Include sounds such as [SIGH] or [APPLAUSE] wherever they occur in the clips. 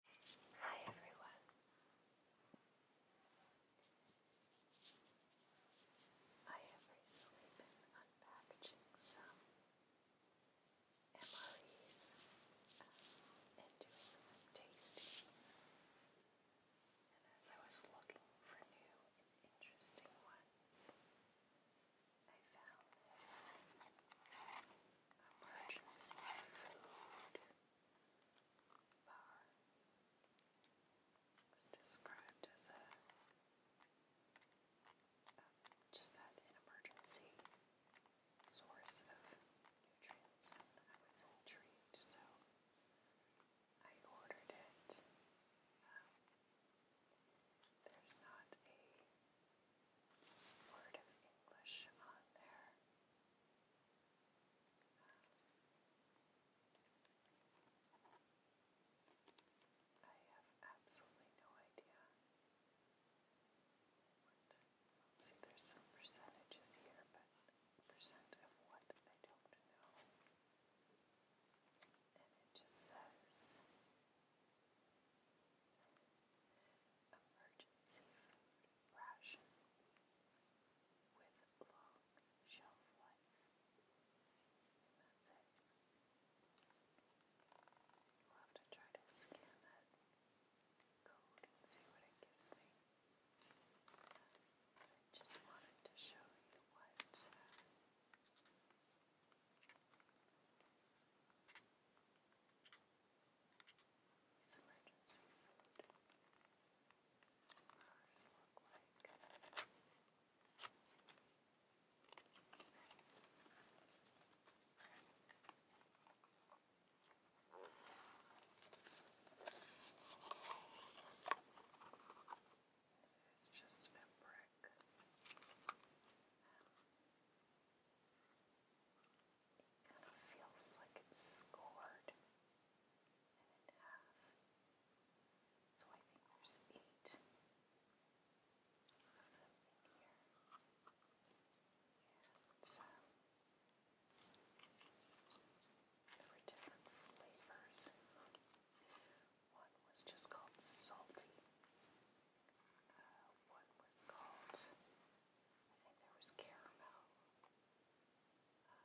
Hi everyone. I am recently unpackaging some MREs um, and doing some tastings. And as I was looking for new and interesting ones, I found this emergency food bar was described as a um, just that an emergency source of nutrients, I was intrigued, so I ordered it. Um, there's not a word of English on there. Um, I have absolutely no idea. see, there's some percentages here, but percent of what I don't know. And it just says emergency ration with long shelf life. that's it. We'll have to try to scan that code and see what it gives me. I just wanted to show you what. Uh, these emergency food bars look like. It's just a brick. Um, it kind of feels like it's scored in half. So I think there's eight of them in here. And um, there were different flavors. One was just called salty. Uh, what was called. I think there was caramel. Um,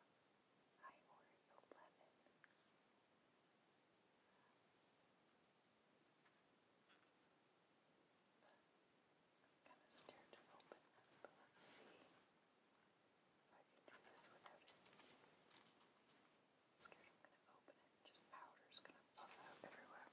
I ordered the lemon. kind of scared to open this, but let's see if I can do this without it scared I'm gonna open it just powder's gonna puff out everywhere.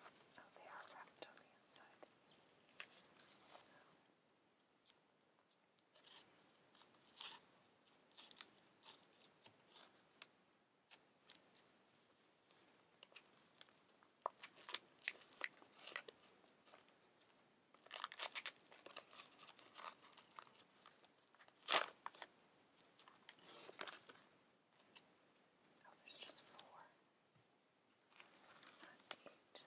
Oh, they are wrapped on the inside. Oh, there's just four. Not eight.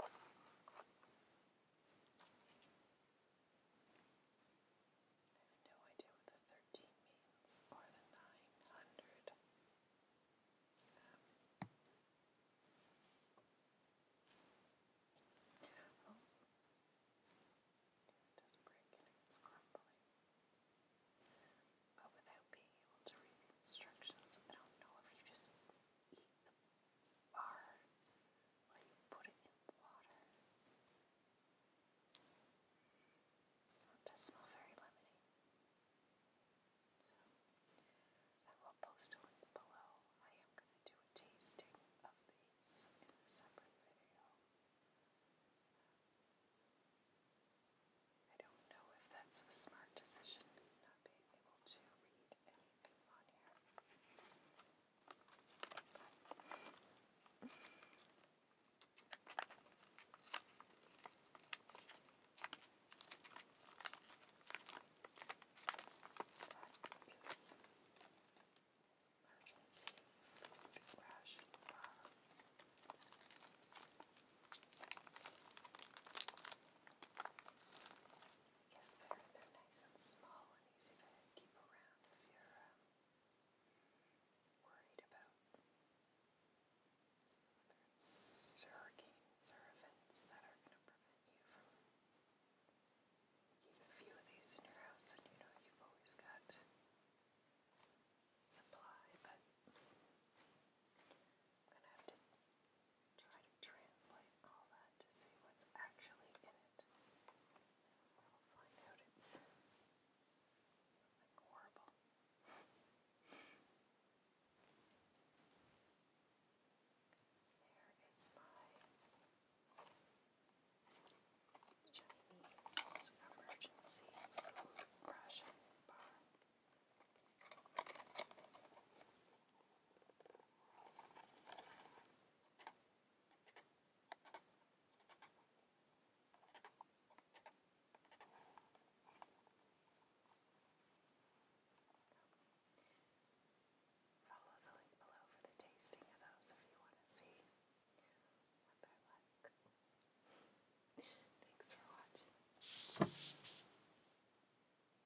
All I have no idea what the 13 means, or the 900. Um, oh, it is breaking, it's crumbling. But without being able to read the instructions, I don't know if you just eat the are when you put it in water. It does smell very lemony. So, I will post a link below. I am going to do a tasting of these in a separate video. I don't know if that's a smart decision, not being able to read anything on here. That is emergency food ration bar. I guess they're, they're nice and small and keep around if you're um, worried about whether it's hurricanes or events that are going to prevent you from keep a few of these in your house and you know you've always got supply but try to translate all that to see what's actually in it. We'll find out it's horrible. there is my Chinese emergency food ration bar. Follow the link below for the tasting of those if you want to see what they're like. [LAUGHS] Thanks for watching.